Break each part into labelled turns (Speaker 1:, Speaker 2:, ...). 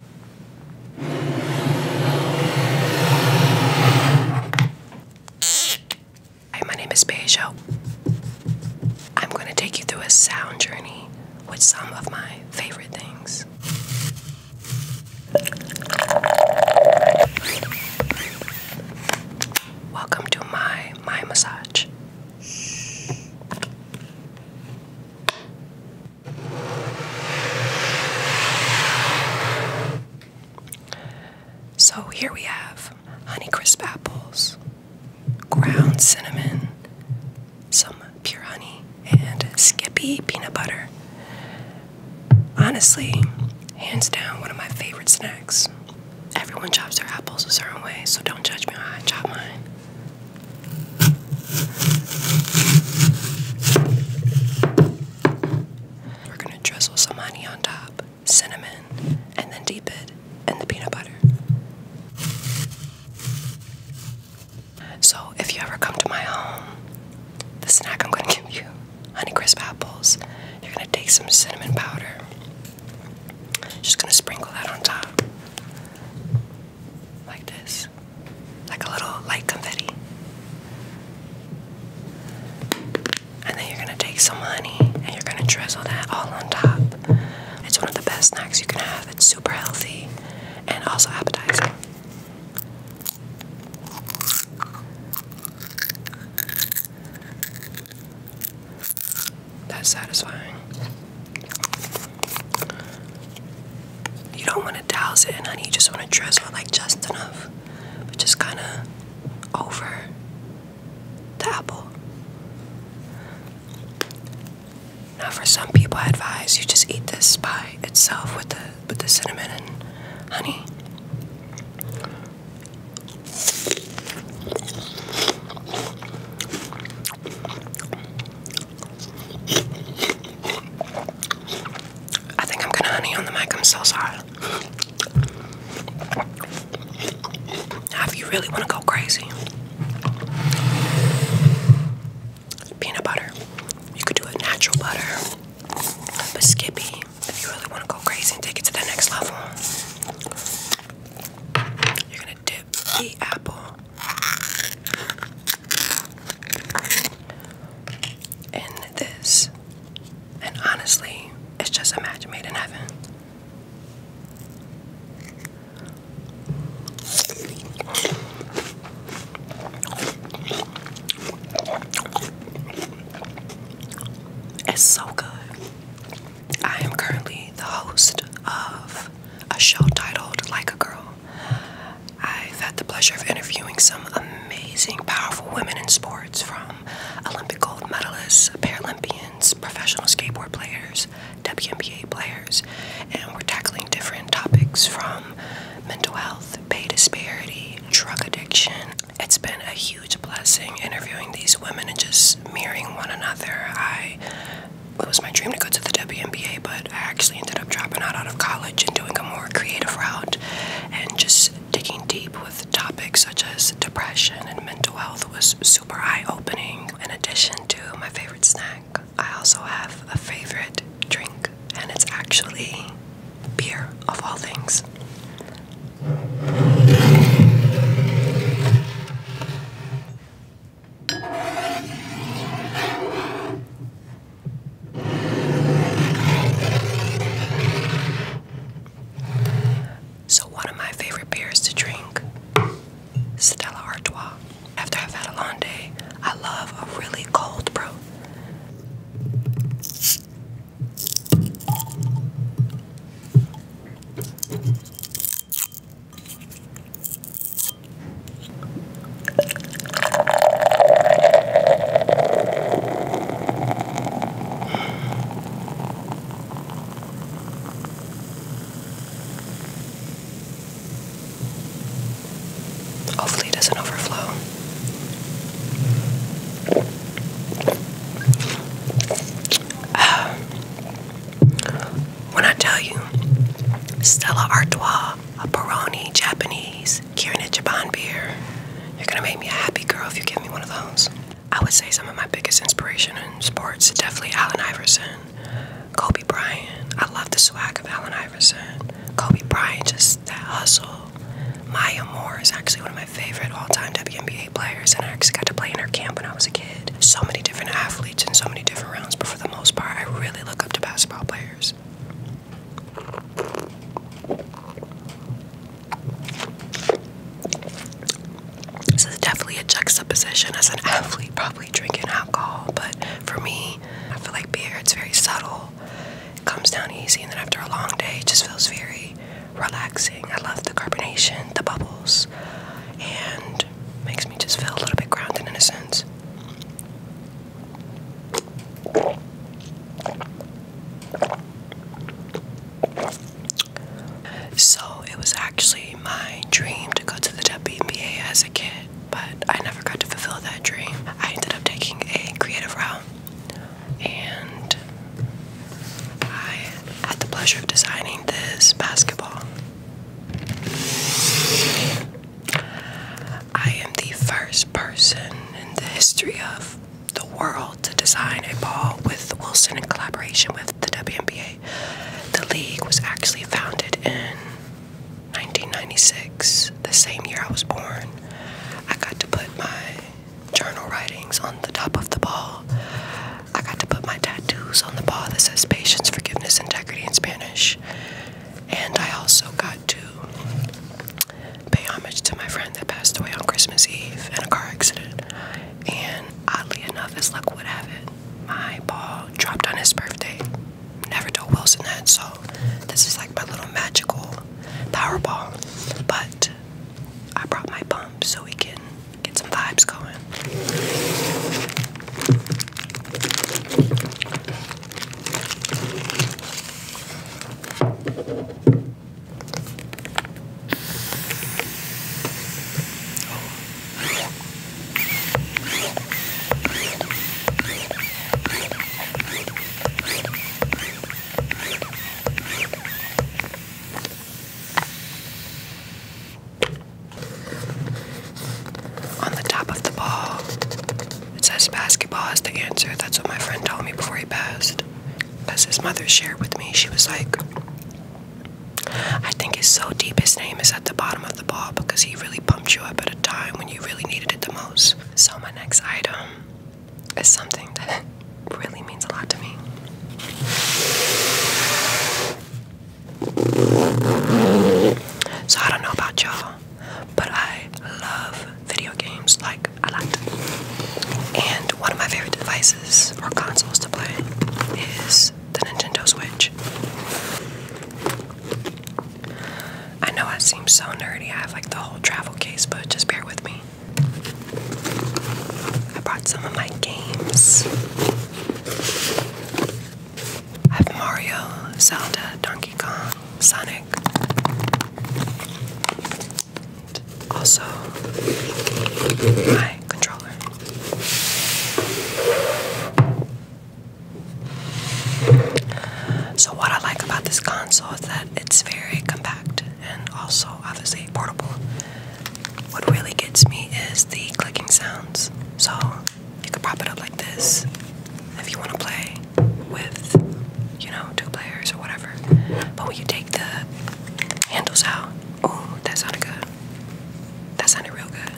Speaker 1: Hi, my name is Peugeot. I'm going to take you through a sound journey with some of my favorite things. Welcome to my my massage. So here we have honey crisp apples, ground cinnamon, some pure honey, and Skippy peanut butter. Honestly, hands down, one of my favorite snacks. Everyone chops their apples a certain way, so don't judge me how I chop mine. We're gonna drizzle some honey on top, cinnamon, and then deep it in the peanut butter. So, if you ever come to my home, the snack I'm gonna give you honey crisp apples. You're gonna take some cinnamon powder, just gonna sprinkle that on top like this, like a little light confetti. And then you're gonna take some honey and you're gonna drizzle that all on top. It's one of the best snacks you can have. It's super healthy and also appetizing. That's satisfying. You don't want to douse it in honey, you just want to drizzle like just enough, but just kind of over the apple. Now, for some people, I advise you just eat this by itself with the with the cinnamon and honey. I think I'm gonna honey on the mic. I'm so sorry. Now, if you really want to go crazy, peanut butter. You could do a natural butter, but Skippy. If you really want to go crazy and take it to the next level, you're gonna dip the apple in this. And honestly, it's just a match made in heaven. It's so good. I am currently the host of a show titled Like a Girl. I've had the pleasure of interviewing some amazing, powerful women in sports from Olympic gold medalists, Paralympians, professional skateboard players, WNBA players, and we're tackling different topics from mental health, pay disparity, drug addiction. It's been a huge blessing interviewing these women and just mirroring one another. I it was my dream to go to the WNBA, but I actually ended up dropping out out of college and doing a more creative route and just digging deep with topics such as depression and mental health was super eye-opening. In addition to my favorite snack, I also have a favorite drink and it's actually beer of all things. So, one of my favorite beers to drink, Stella Artois. After I've had a long day, I love a really cold brew. Hopefully, it doesn't overflow. Um, when I tell you, Stella Artois, a Peroni Japanese Kierna Japan beer. You're gonna make me a happy girl if you give me one of those. I would say some of my biggest inspiration in sports definitely Allen Iverson, Kobe Bryant. I love the swag of Allen Iverson, Kobe Bryant, just that hustle. Maya Moore is actually one of my favorite all-time WNBA players, and I actually got to play in her camp when I was a kid. So many different athletes in so many different rounds, but for the most part, I really look up to basketball players. This is definitely a juxtaposition as an athlete, probably drinking alcohol, but for me, I feel like beer, it's very subtle. It comes down easy, and then after a long day, just feels very relaxing. I love the carbonation, the bubbles, and makes me just feel a little bit grounded in a sense. So it was actually my dream to go to the WNBA as a kid, but I never got to fulfill that dream. I ended up taking a creative route and I had the pleasure of designing this basketball. I am the first person in the history of the world to design a ball with Wilson in collaboration with the WNBA. The league was actually founded in 1996, the same year I was born. I got to put my journal writings on the top of the ball. I got to put my tattoos on the ball that says patience, forgiveness, integrity in Spanish. And I also got to pay homage to my friend that passed away on Christmas Eve in a car accident. And oddly enough, as luck would have it, my ball dropped on his birthday. Never told Wilson that, so this is like my little magical power ball. But I brought my pump so we can get some vibes going. On the top of the ball it says basketball is the answer. That's what my friend told me before he passed. Because his mother shared with me. She was like, I think it's so deep his name is at the bottom of the ball because he really pumped you up at a time when you really needed it the most. So, my next item is something that really means a lot to me. So, I don't know about y'all, but I love video games like a lot. And one of my favorite devices for consoles to play is the Nintendo Switch. I know I seem so nerdy, I have like the whole travel case, but just bear with me. I brought some of my games. I have Mario, Zelda, Donkey Kong, Sonic. Also, my controller. So, what I like about this console is that it's very compact and also obviously portable. What really gets me is the clicking sounds. So, you can prop it up like this if you want to play with, you know, two players or whatever. But when you take the handles out, oh, that sounded good. That sounded real good.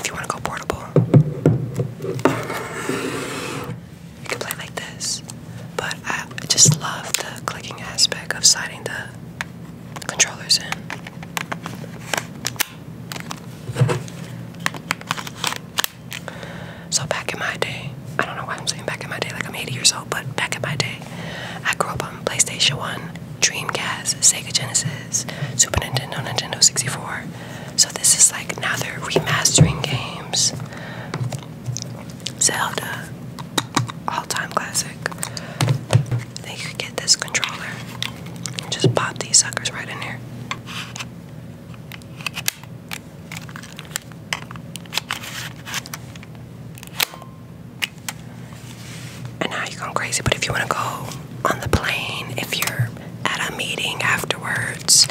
Speaker 1: If you want to go portable, you can play like this. But I just love the clicking aspect of sliding the controllers in. So back in my day, I don't know why I'm saying back in my day, like I'm 80 years old, but back in my day, I grew up on PlayStation 1, Dreamcast, Sega Genesis, Super Nintendo, Nintendo 64. So this is like now they're remastering games. Zelda, all time classic. They could get this controller just pop these suckers right in there. And now you're going crazy, but if you want to go on the plane, if you're at a meeting afterwards,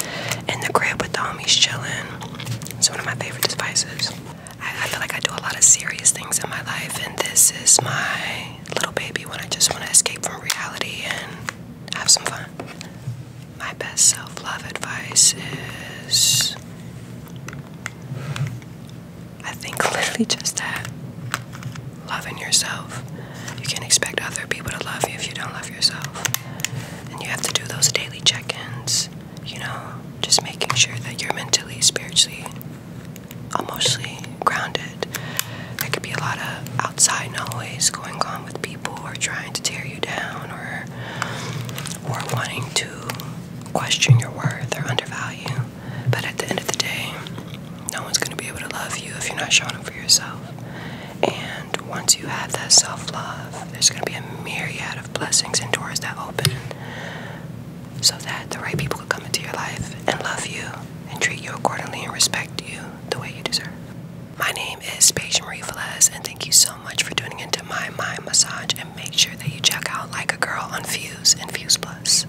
Speaker 1: in the crib with the homies chilling, it's one of my favorite devices. I, feel like I do a lot of serious things in my life, and this is my little baby when I just want to escape from reality and have some fun. My best self love advice is I think literally just that loving yourself. You can't expect other people to love you if you don't love yourself. And you have to do those daily check ins, you know, just making sure that you're mentally, spiritually, emotionally grounded. There could be a lot of outside noise going on with people or trying to tear you down or or wanting to question your worth or undervalue. But at the end of the day, no one's gonna be able to love you if you're not showing up for yourself. And once you have that self love, there's gonna be a myriad of blessings and doors that open so that the right people could come into your life and love you and treat you accordingly and respect you the way you deserve. My name is Paige Marie Velez, and thank you so much for tuning into my mind massage. And make sure that you check out Like a Girl on Fuse and Fuse Plus.